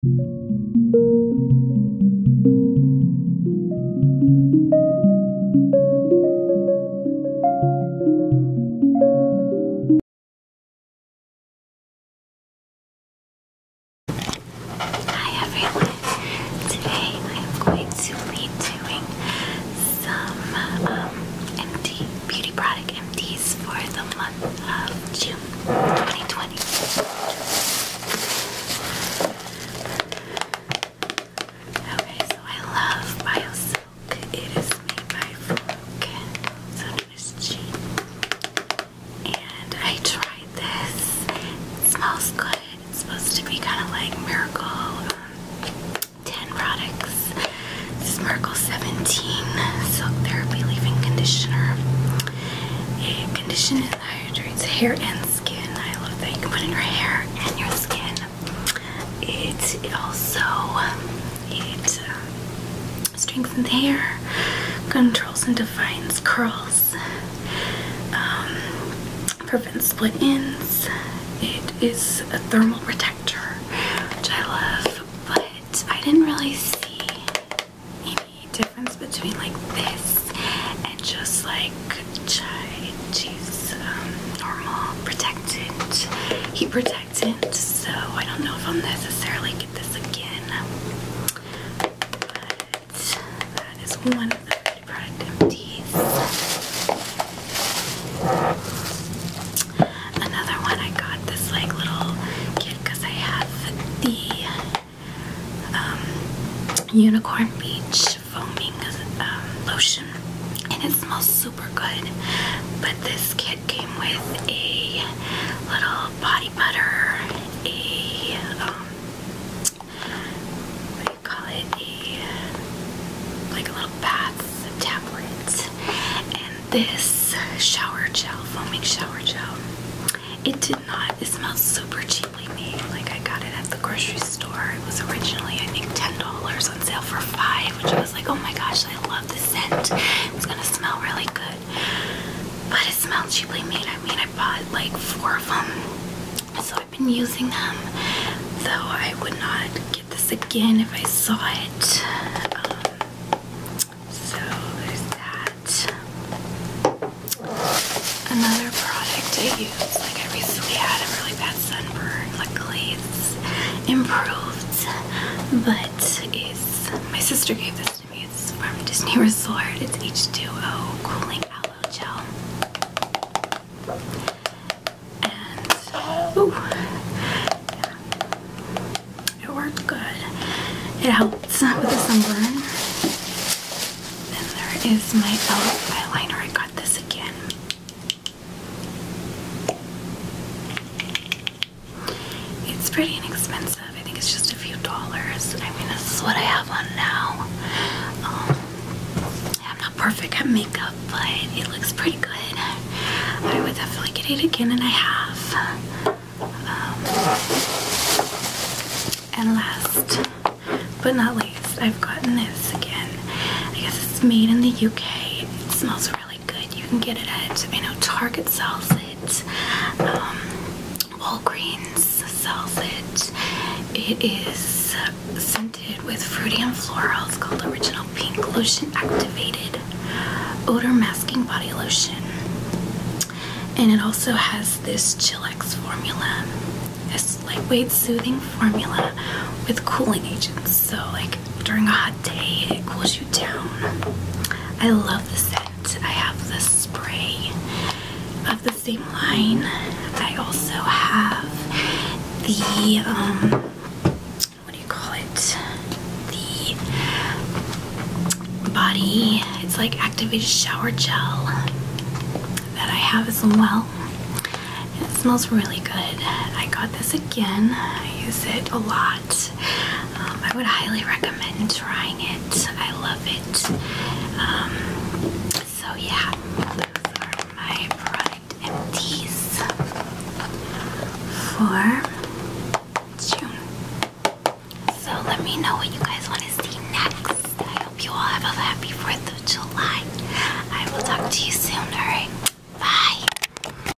Hi everyone. Today I'm going to be doing some um, empty beauty product empties for the month June 2020. Okay, so I love BioSilk. It is made by Fluke, so it is cheap. And I tried this. It smells good. It's supposed to be kind of like Miracle um, 10 products. This is Miracle 17 Silk Therapy Leave-In Conditioner. It conditions and hydrates hair and skin. I love that you can put in your hair and your skin. It, also it uh, strengthens hair, controls and defines curls, um, prevents split ends. It is a thermal protector, which I love but I didn't really see any difference between like this and just like chai cheese um, normal protectant, heat protectant. So I don't know if I'll necessarily get this again, but that is one of the Pretty Product empties. Another one I got this like little kit because I have the um, Unicorn Beach foaming um, lotion and it smells super good. But this kit came with a little body butter, a um, call it a like a little bath tablet. And this shower gel, foaming shower gel, it did not. It smells super cheaply made. Like I got it at the grocery store. It was originally I think ten dollars on sale for five, which I was like, oh my gosh, I love the scent. It's gonna smell really good. But it smells cheaply made. I mean, I bought like four of them, so I I've been using them, though I would not get this again if I saw it. Um, so there's that. Another product I use, like I recently had a really bad sunburn. Luckily, it's improved, but it's my sister gave this to me. It's from Disney Resort. It's H2O Cooling Out it worked good. It helps not with the sunburn. And there is my elf eyeliner. I got this again. It's pretty inexpensive. I think it's just a few dollars. I mean, this is what I have on now. Um, I'm not perfect at makeup, but it looks pretty good. I would definitely get it again, and I have. Um, and last but not least, I've gotten this again. I guess it's made in the UK. It smells really good. You can get it at, I know Target sells it. Um, Walgreens sells it. It is scented with fruity and floral. It's called Original Pink Lotion Activated Odor Masking Body Lotion. And it also has this Chillax formula. This lightweight soothing formula with cooling agents. So like during a hot day it cools you down. I love this set. I have the spray of the same line. I also have the, um, what do you call it? The body, it's like activated shower gel that I have as well. it smells really good. I got this again. I use it a lot. Um, I would highly recommend trying it. I love it. Um, so yeah, my product empties for June. So let me know what you guys want to see next. I hope you all have a happy 4th of July. I will talk to you soon, alright? Bye!